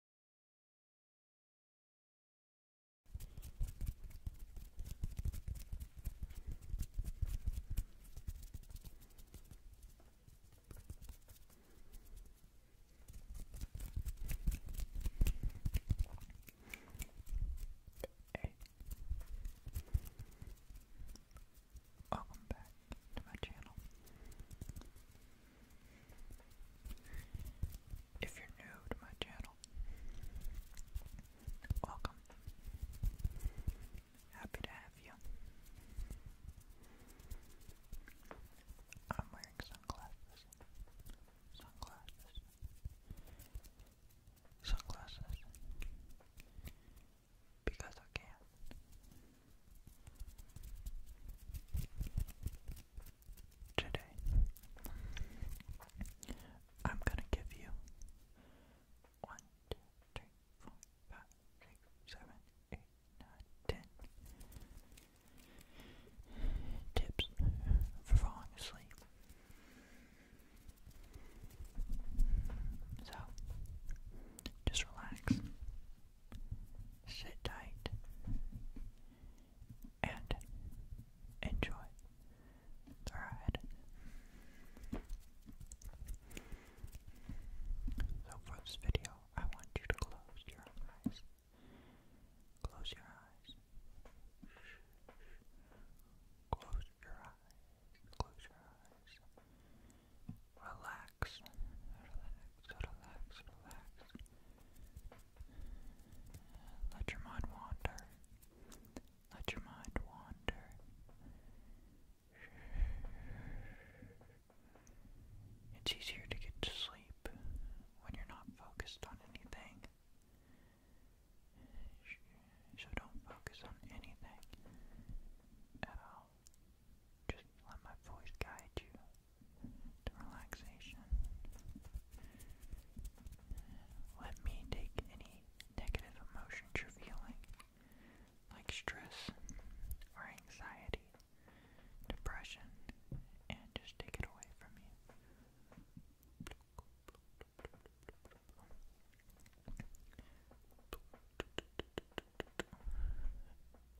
Hey, welcome back to my channel. If you're new to my channel, welcome. Happy to have you. I'm wearing sunglasses. Sunglasses. Sunglasses. Because I can today. I'm gonna give you one, two, three, four, five, six, seven, eight, nine, ten tips for falling asleep. So, just relax sit tight, and enjoy the ride. So for this video, I want you to close your eyes. Close your eyes. Close your eyes. Close your eyes. Relax. So relax, relax. Let your mind wander. Let your mind wander. It's easier to get to sleep when you're not focused on anything. So don't focus on anything at all. Just let my voice guide you to relaxation. Let me take any negative emotions you're feeling, like stress or anxiety, depression, and just take it away from you.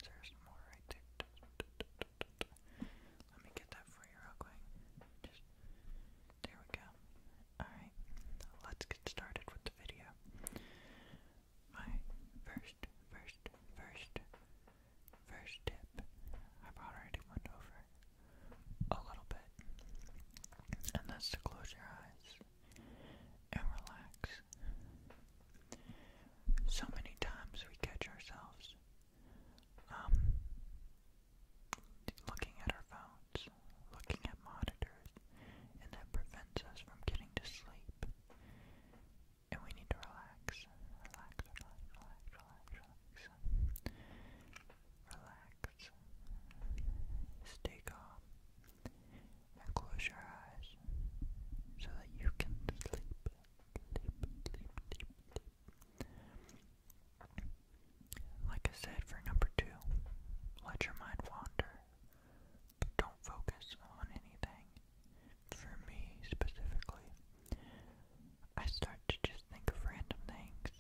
There's more right there. Let me get that for you Just, there we go. Alright, let's get started with the video. My first, first, first, first tip. I've already went over a little bit. And that's to close your eyes and relax so many times we catch ourselves um, looking at our phones, looking at monitors, and that prevents us from getting to sleep. And we need to relax, relax, relax, relax, relax, relax, relax. Stay calm and close your eyes so that you can sleep. Like I said for number two, let your mind wander. But don't focus on anything. For me specifically, I start to just think of random things.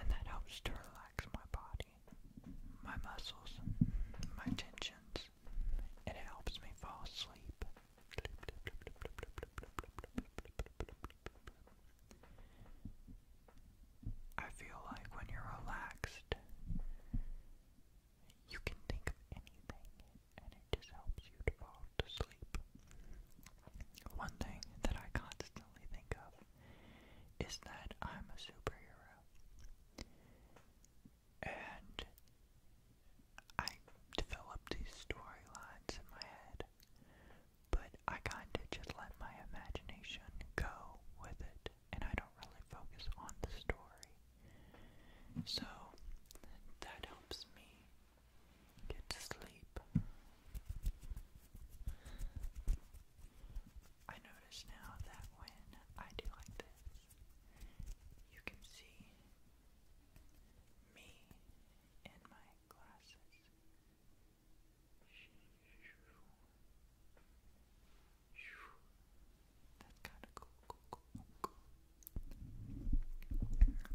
And that helps to relax my body, my muscles, my tensions, it helps me fall asleep. I feel like when you're relaxed, you can think of anything, and it just helps you to fall to sleep. One thing that I constantly think of is that I'm a superhero and I developed these storylines in my head, but I kinda just let my imagination go with it, and I don't really focus on the story. So that helps me get to sleep. I notice now that when I do like this, you can see me in my glasses. That's kind of cool.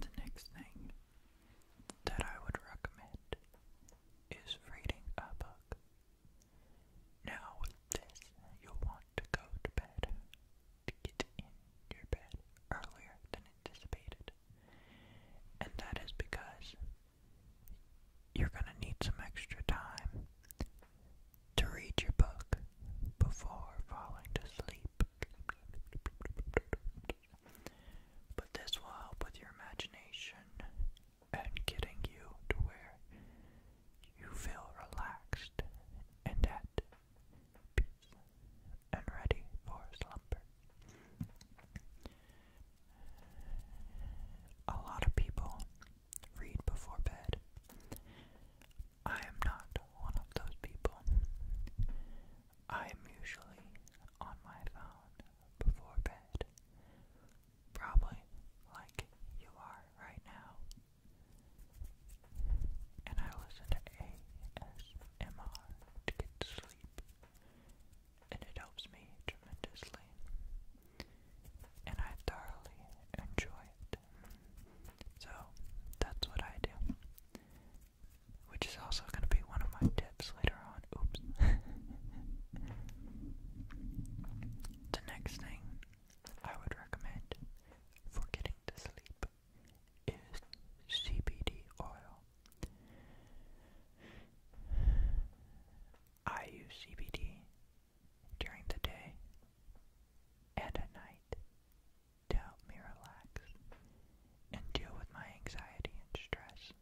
The next thing that I would recommend is reading a book. Now this, you'll want to go to bed, to get in your bed earlier than anticipated. And that is because you're going to need some extra time to read your book before falling to sleep. But this will help with your imagination and getting you to where you feel relaxed and at peace and ready for slumber. A lot of people read before bed. I am not one of those people. I am usually on my phone before bed. Probably like you are right now and I listen to ASMR to get to sleep, and it helps me tremendously, and I thoroughly enjoy it. So that's what I do, which is also going to be one of my tips later on. Oops. the next thing I would recommend for getting to sleep is CBD oil. I use CBD during the day and at night to help me relax and deal with my anxiety and stress.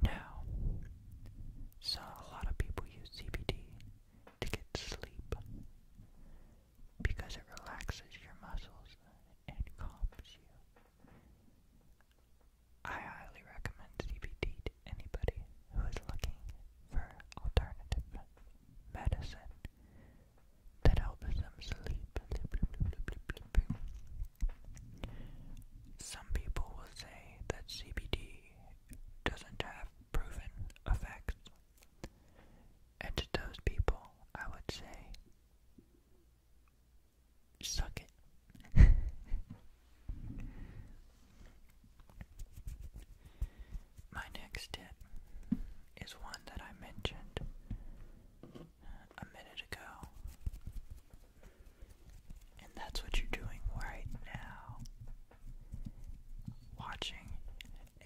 Now, so a lot of people use CBD to get sleep because it relaxes your muscles and calms you. I highly recommend CBD to anybody who is looking for alternative medicine that helps them sleep. Some people will say that CBD doesn't have proven effects. And to those people, I would say, suck it. My next tip is one that I mentioned uh, a minute ago. And that's what you're doing right now watching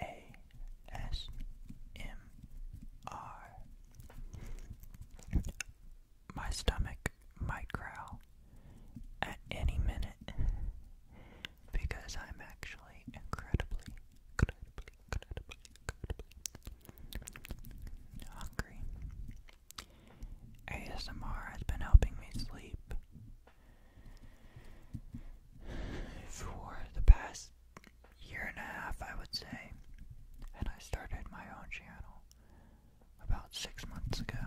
ASMR. My stomach might growl at any minute because I'm actually incredibly, hungry. ASMR has been helping me sleep for the past year and a half, I would say. And I started my own channel about six months ago.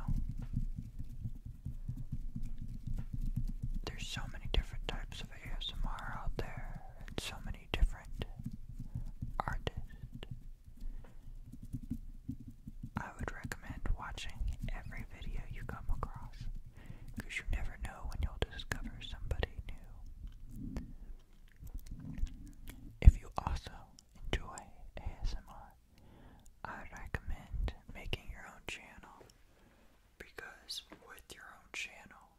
There's so many different types of ASMR out there, and so many different artists. I would recommend watching every video you come across because you never know when you'll discover somebody new. If you also enjoy ASMR, I recommend making your own channel because with your own channel,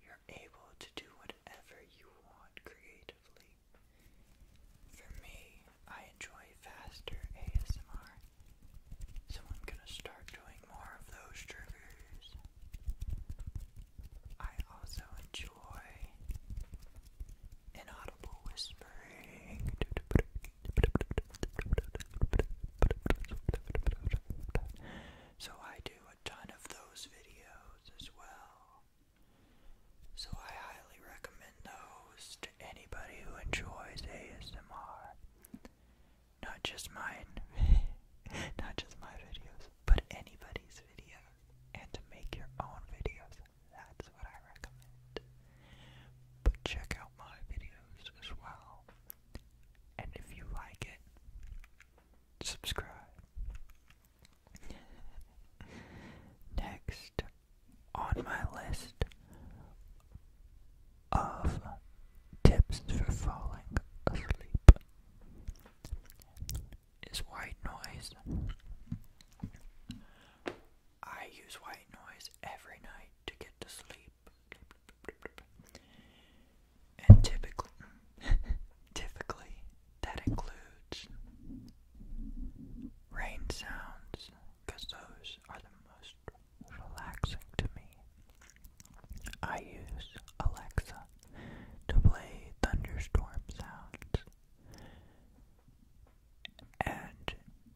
you're able to do whatever you want creatively. For me, I enjoy faster ASMR, so I'm gonna start doing more of those triggers. I also enjoy inaudible whispering. So I do a ton of those videos as well. So I highly recommend those to anybody who enjoys ASMR. Not just mine, not just my videos, but anybody's videos. And to make your own videos, that's what I recommend. But check out my videos as well. And if you like it, subscribe. Next on my list of tips for falling asleep is white noise. I use white noise every night to get to sleep. And typically, typically that includes rain sounds because those are the most relaxing to me. I use Alexa to play thunderstorm sounds, and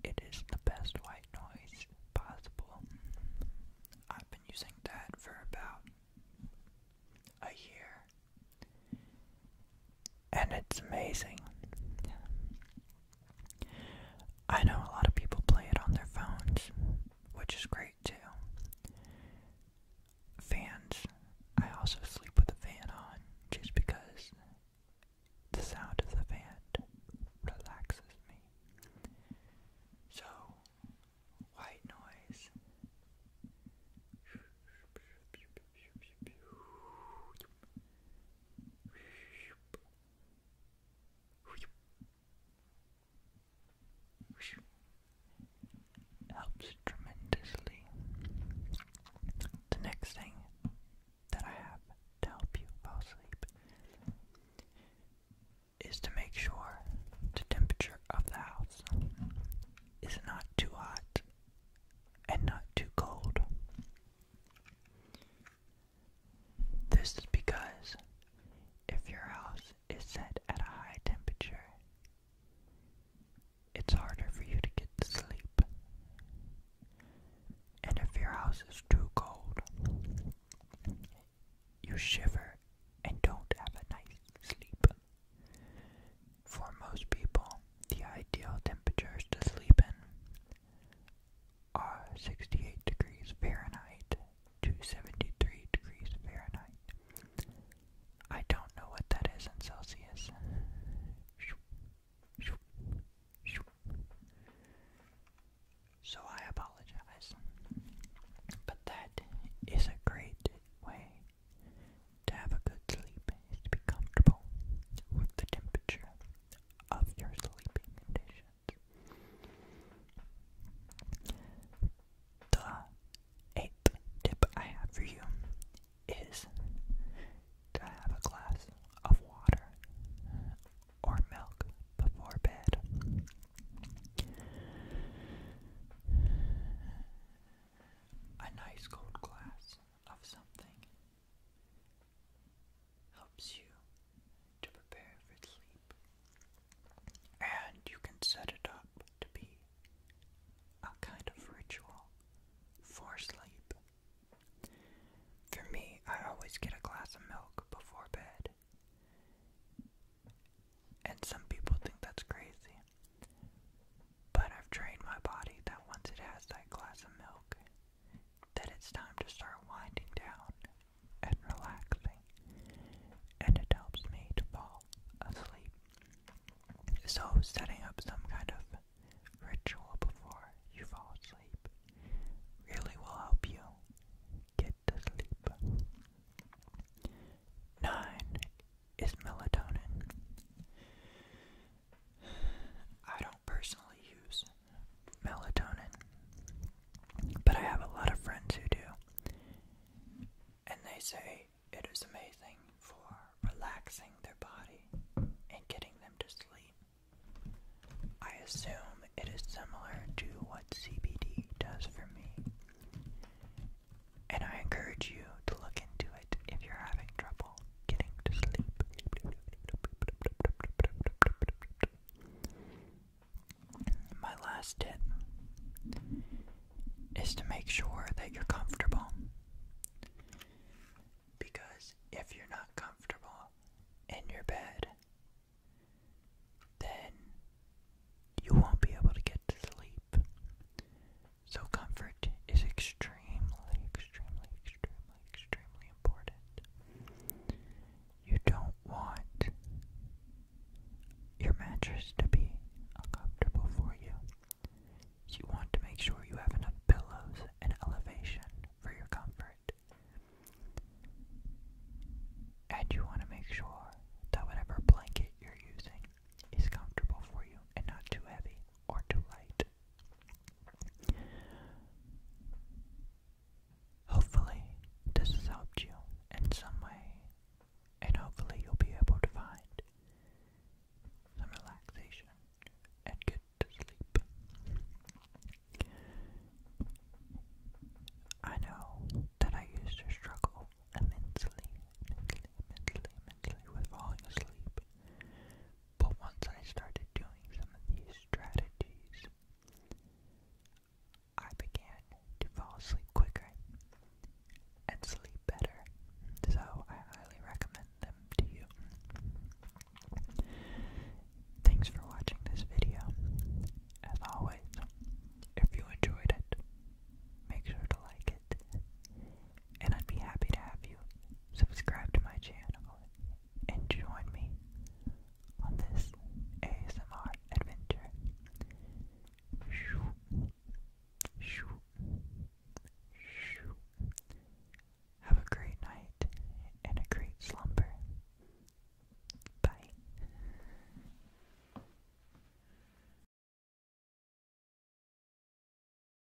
it is the best white noise possible. I've been using that for about a year, and it's amazing. I know a lot of people play it on their phones, which is great too. Fans, I also sleep with a fan on just because the sound of the fan relaxes me. So, white noise. Helps tremendously. The next thing that I have to help you fall asleep is to make sure the temperature of the house is not too hot and not too cold. This is because if your house is set at a high temperature, it's harder for you to get to sleep. And if your house is too cold, you shiver and don't have a nice sleep. For most people, the ideal temperatures to sleep in are 68 degrees Fahrenheit to 73 degrees Fahrenheit. I don't know what that is in Celsius. So I apologize. But that is a great way to have a good sleep to be comfortable with the temperature of your sleeping conditions. The eighth tip I have for you is to have a glass of water or milk before bed. A nice cold glass of something helps you to prepare for sleep. And you can set it up to be a kind of ritual for sleep. For me, I always get a glass of milk before bed. And some people think that's crazy. But I've trained my body that once it has that glass of milk, that it's time to start winding down and relaxing. And it helps me to fall asleep. So setting up some kind of ritual before you fall asleep really will help you get to sleep. 9 is melatonin. I don't personally use melatonin, but I have a lot of friends who do, and they say it is amazing for relaxing their body and getting them to sleep. I assume it is similar to what CBD does for me. And I encourage you to look into it if you're having trouble getting to sleep. My last tip is to make sure that you're comfortable. Because if you're not comfortable in your bed, then you won't be able to get to sleep. So comfort is extremely, extremely, extremely, extremely important. You don't want your mattress to be uncomfortable for you. You want to make sure you have enough pillows and elevation for your comfort. And you want to make sure that whatever blanket you're using is comfortable for you and not too heavy or too light. Hopefully, this has helped you in some way, and hopefully, you'll be able to find some relaxation and get to sleep. I know that I used to struggle immensely, immensely, immensely, with falling asleep. But once I started doing some of these strategies, I began to fall asleep quicker and sleep better. So I highly recommend them to you. Thanks for watching this video. As always, if you enjoyed it, make sure to like it and I'd be happy to have you subscribe to my channel and join me on this ASMR adventure. Shoo, shoo, shoo. Have a great night and a great slumber. Bye.